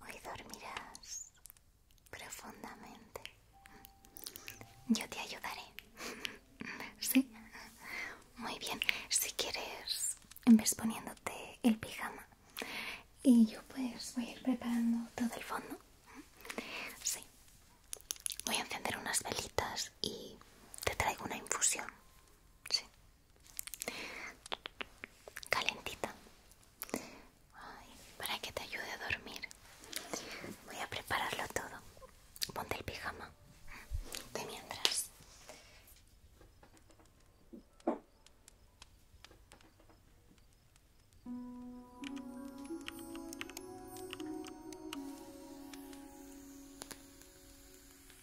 Hoy dormirás profundamente. Yo te ayudaré. ¿Sí? Muy bien. Si quieres, vez poniéndote el pijama. Y yo pues voy a ir preparando todo el fondo. Sí. Voy a encender unas velitas y te traigo una infusión sí calentita para que te ayude a dormir voy a prepararlo todo ponte el pijama de mientras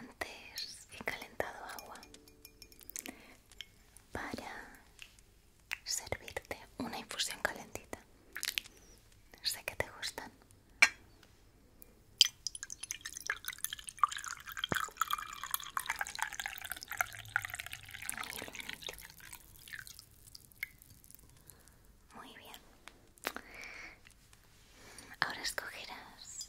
Antes he calentado agua para servirte una infusión calentita. Sé que te gustan. Muy bien. Ahora escogerás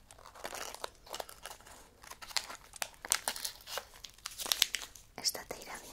Esta te irá bien.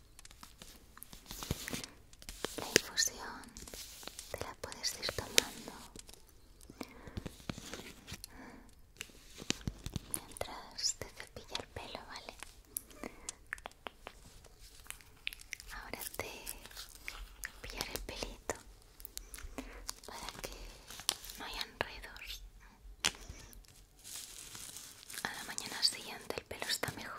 La infusión te la puedes ir tomando mientras te cepilla el pelo, ¿vale? Ahora te pillar el pelito para que no hayan enredos. A la mañana siguiente el pelo está mejor.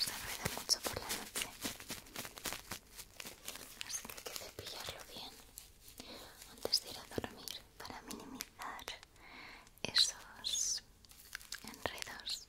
Se enreda mucho por la noche. Así que hay que cepillarlo bien antes de ir a dormir para minimizar esos enredos.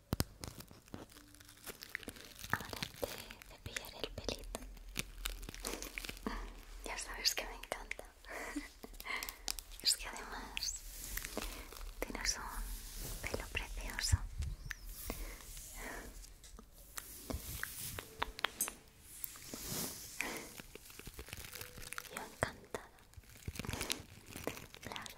Ahora te cepillaré el pelito. Ya sabes que me encanta. Es que además tienes un pelo precioso. Yo encantado Claro.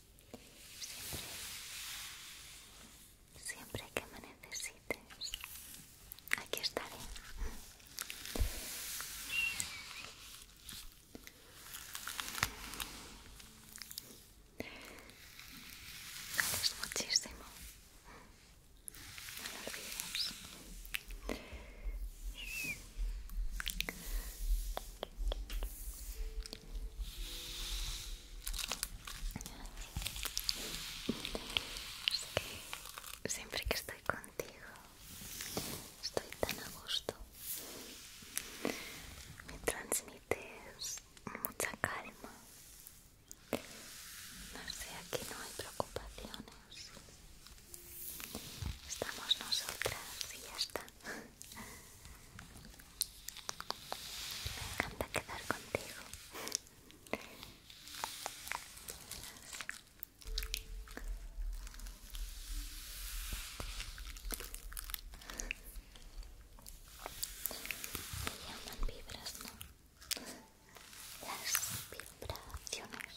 Siempre, siempre que me necesites, aquí estaré. Gracias muchísimo. No lo es que siempre que estoy contigo estoy tan a gusto. Me transmites mucha calma. No sé, aquí no hay preocupaciones. Estamos nosotras y ya está. Me encanta quedar contigo. Me llaman vibras, ¿no? Las vibraciones.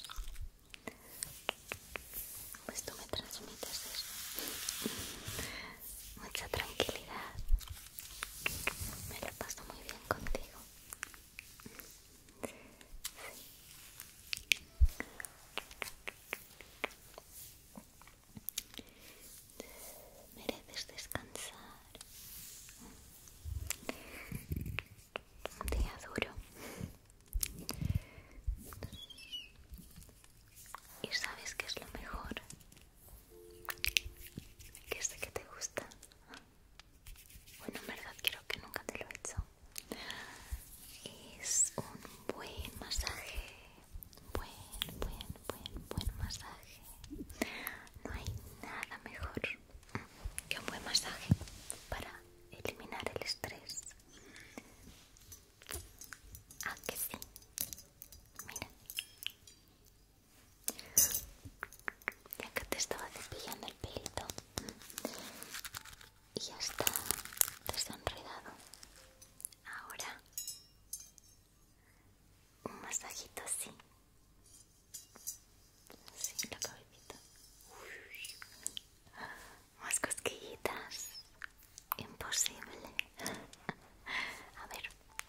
Pues tú me transmites eso mucha tranquilidad. Me lo paso muy bien contigo. Mereces descansar. Un día duro. Y sabes que es lo mejor que sé que te gusta. Bueno, en verdad quiero que nunca te lo he hecho. Es un buen masaje. Buen, buen, buen, buen masaje. No hay nada mejor que un buen masaje para eliminar el estrés. ¿a que sí. Mira. Ya que te estaba cepillando el pelito y ya está desenredado. Ahora un masajito así. sin la cabecita. más cosquillitas. Imposible. A ver,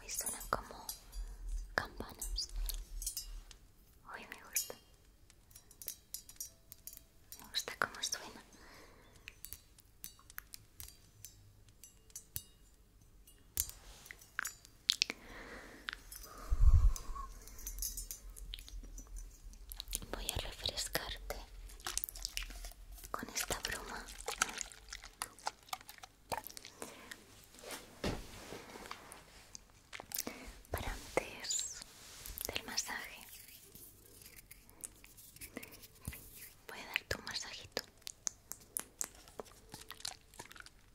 Hoy suenan como campanas. Hoy me gusta. Me gusta cómo suena. Voy a refrescarte con esta broma. Para antes del masaje, voy a darte un masajito. Chechu,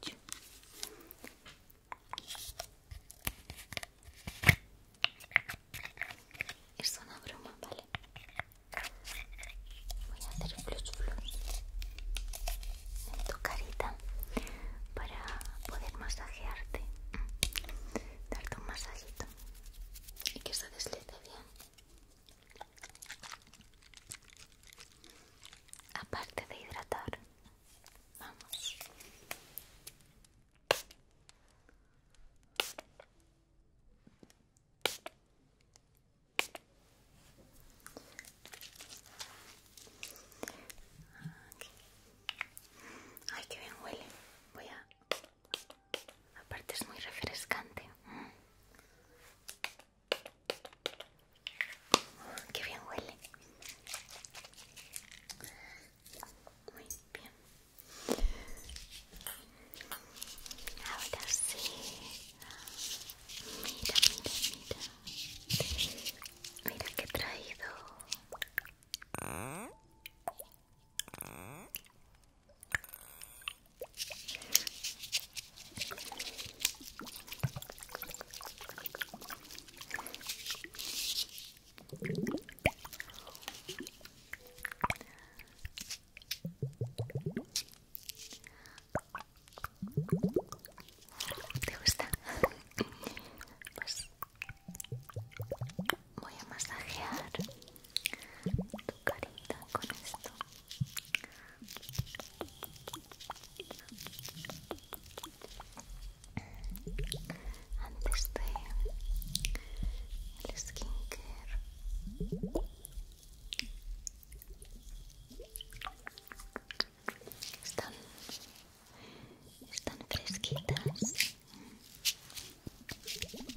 chechu, es una broma, ¿vale? Voy a hacer tu carita para poder masajearte, darte un masajito y que se deslice bien. Aparte de hidratar, vamos. Ay, qué bien huele. Voy a... Aparte es muy refrescante. Mm. qué bien huele. Muy bien. Ahora sí. Mira, mira, mira. Mira que he traído. ¿Te gusta? Pues voy a masajear tu carita con esto. Antes de el skincare están, están fresquitas. qué bonitas.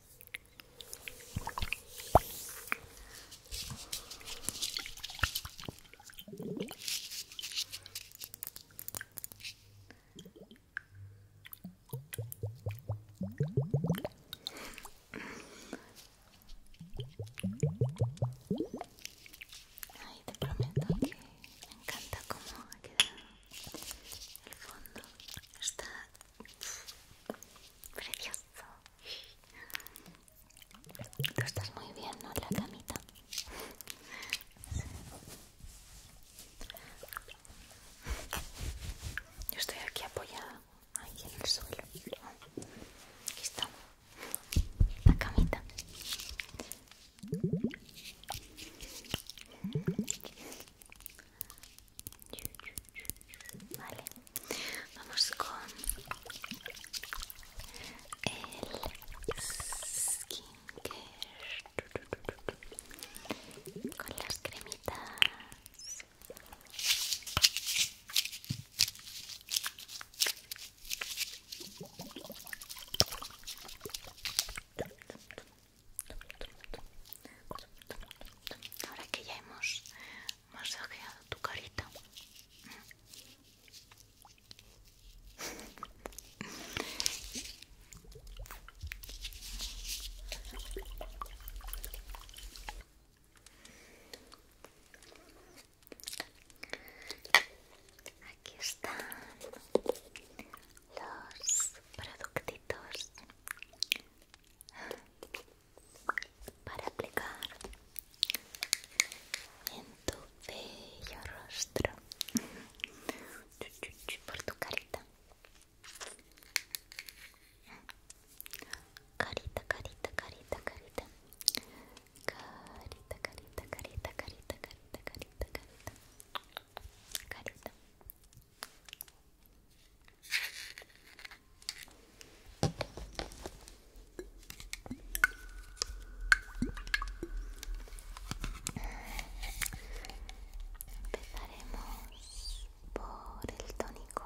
ahí te prometo que me encanta cómo ha quedado el fondo. Está precioso. Tú estás muy bien, ¿no? La camita. Yo estoy aquí apoyada, ahí en el suelo. Aquí está la camita. Vale, vamos con el skin care con las cremitas. Ahora que ya hemos masajeado tu carita. Aquí están los productitos para aplicar en tu bello rostro por tu carita carita carita carita carita carita carita carita carita carita carita carita carita Empezaremos por el tónico.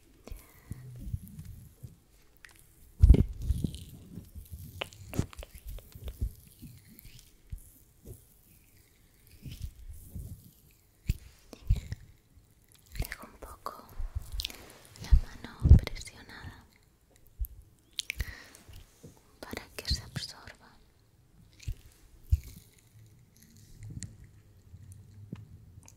Dejo un poco la mano presionada para que se absorba.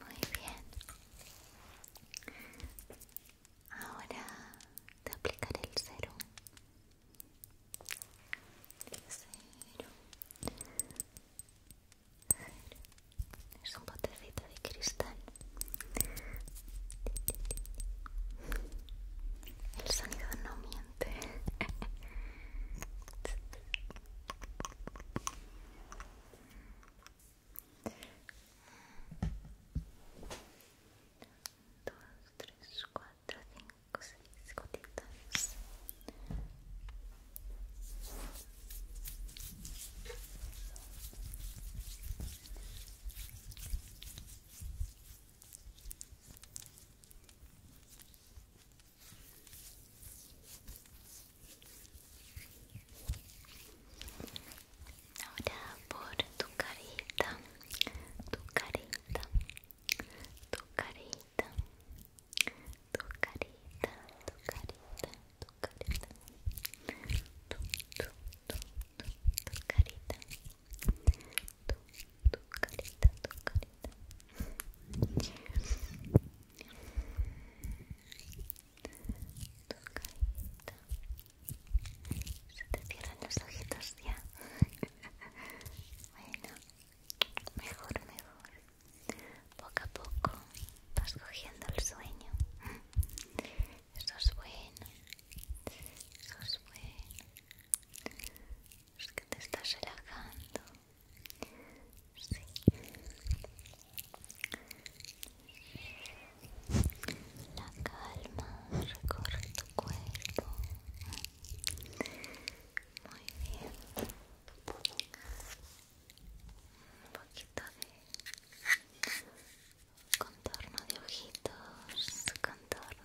Muy bien. Ahora te aplicaré el cero. Cero. Es un botecito de cristal. El sonido no miente. Dos, tres, cuatro, cinco, seis gotitas. Ahora por tu carita, tu carita, tu carita, tu carita, tu carita, tu tu carita, tu, tu, tu, tu, tu carita, tu, tu carita, tu carita. Tu carita. Se te cierran los ojitos ya. bueno, mejor, mejor poco a poco vas cogiendo el sueño. Eso es bueno. Eso es bueno. Es que te estás relajando. Sí. La calma recorre tu cuerpo. Muy bien un poquito de contorno de ojitos, contorno.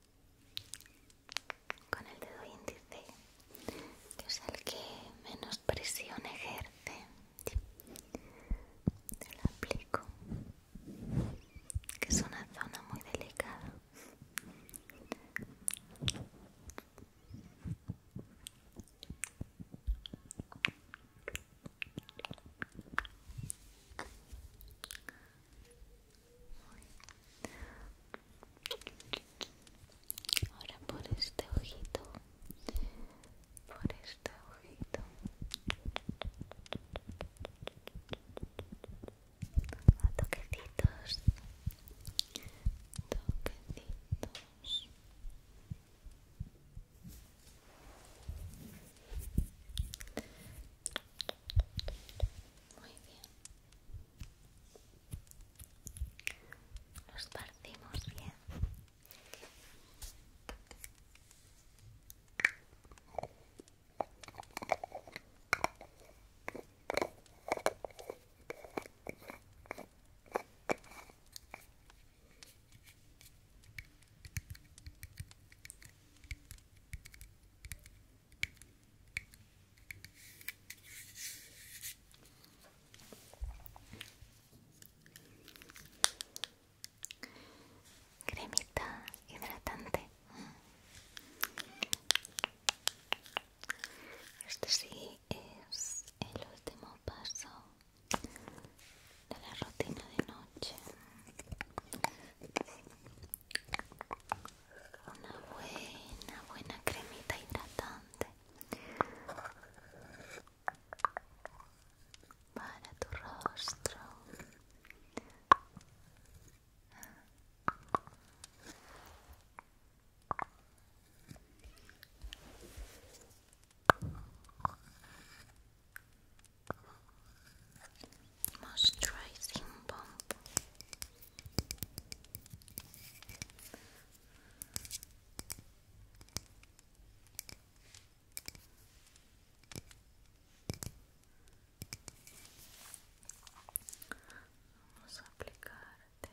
con el dedo índice, que es el que menos presión ejerce, te lo aplico, que es una zona muy delicada. Ahora por este ojito, por este ojito. A toquecitos, toquecitos. Muy bien nos partimos bien cremita hidratante este sí es el último paso de la rutina de noche una buena, buena cremita hidratante para tu rostro. Moisturizing bomb Vamos a aplicarte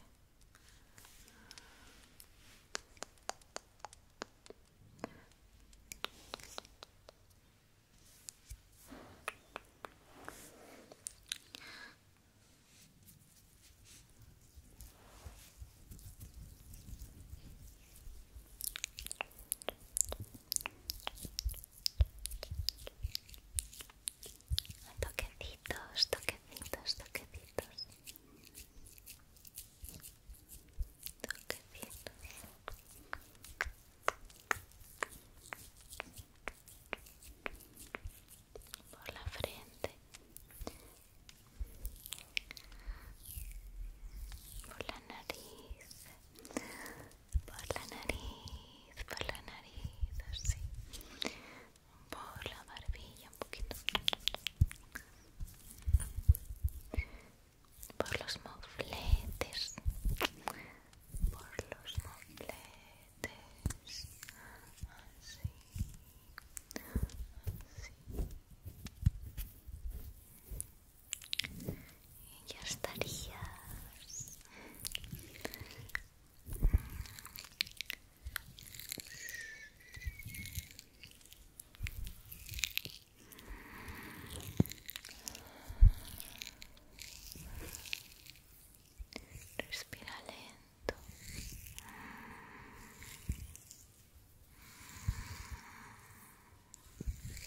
Toquecitos, toquecitos, toquecitos por la frente, por la nariz, por la nariz, por la nariz, por la barbilla un poquito, por los mofletes, por los mofletes así, y ya estarías. Respira lento.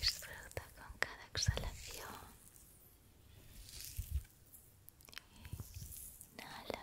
Disfruta con cada exhalación. Inhala.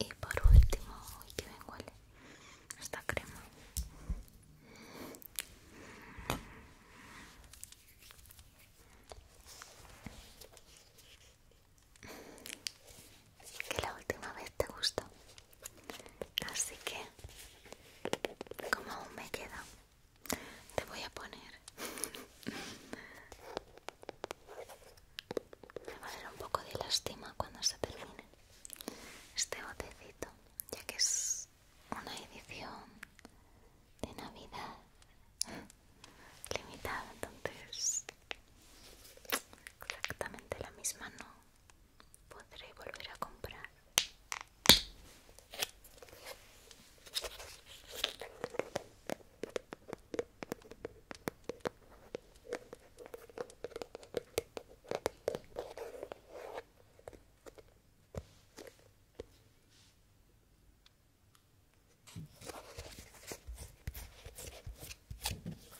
Y por último, uy, que huele esta crema que la última vez te gustó. Así que, como aún me queda, te voy a poner. me va a dar un poco de lástima cuando se termine este botecito, ya que es una edición de Navidad limitada, entonces exactamente la misma no podré volver a comprar.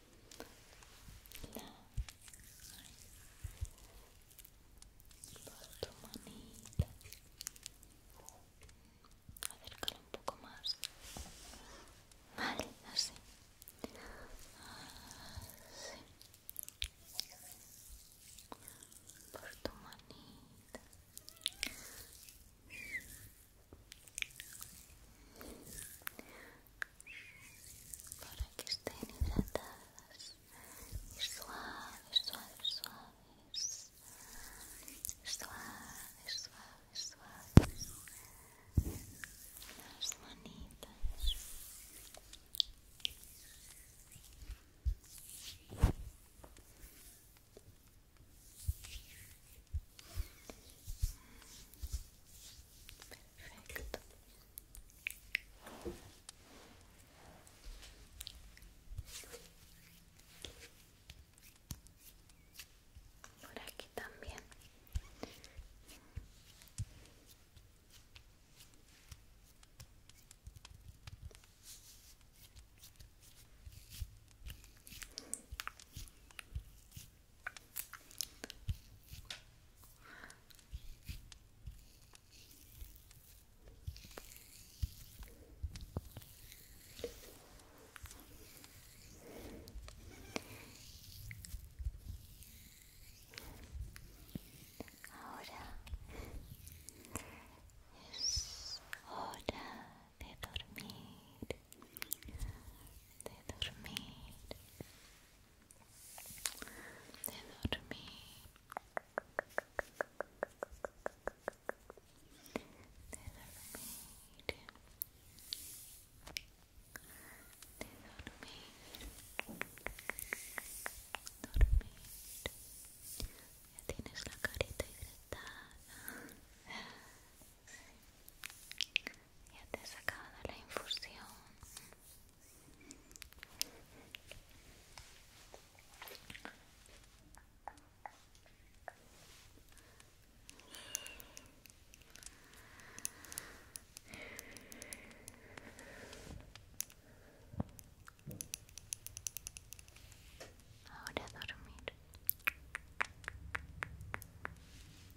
por tu manita acércala un poco más vale, así por tu manita para que estén hidratadas y suaves, suaves, suaves, suaves, suaves, suaves, las manitas. Perfecto. Por aquí también. Ahora es hora de dormir, de dormir de dormir de dormir de dormir dormir ya tienes la carita hidratada y ya te sacaba sacado la infusión Ahora a dormir.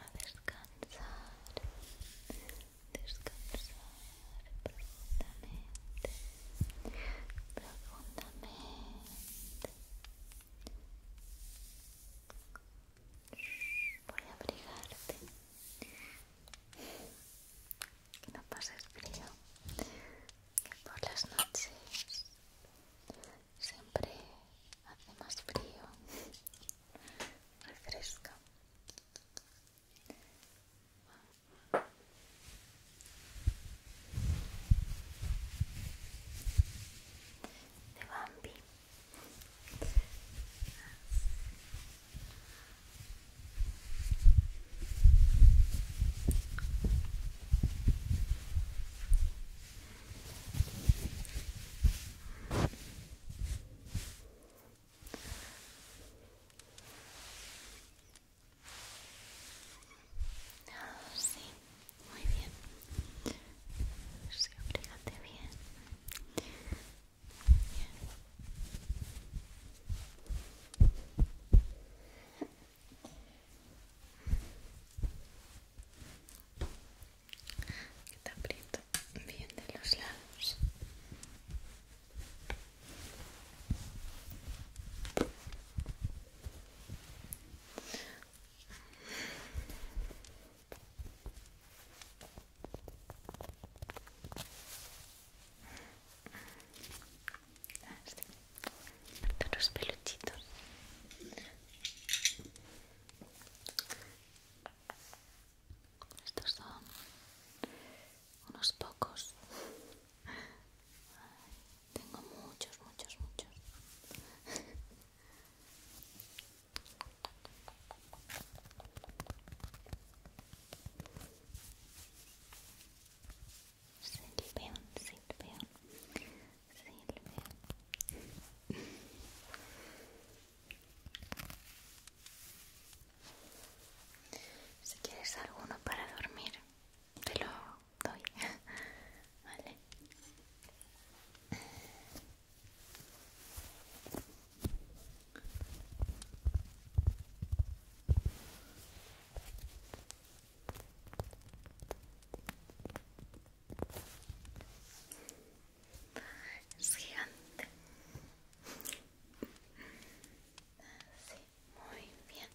a descansar descansar profundamente profundamente voy a abrigarte que no pases frío que por las noches siempre hace más frío, refresca. De Bambi. Sí, muy bien. Sí, fíjate bien. bien que te aprieto bien de los lados ah, los peluchitos estos son unos pocos tengo muchos muchos muchos Silpeón, si quieres alguno para dormir Te lo doy Vale, es gigante. Así, muy bien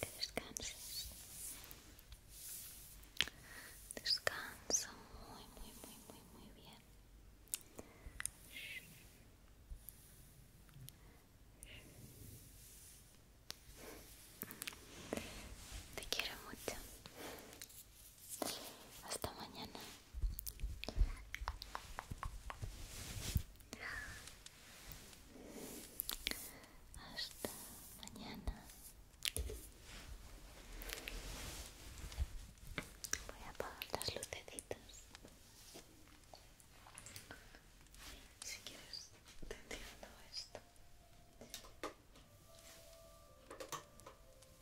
que descanses. Descansa muy, muy, muy, muy, muy bien. Te quiero mucho. Hasta mañana. Hasta mañana. Voy a apagar las lucecitas. Si quieres, te entiendo esto.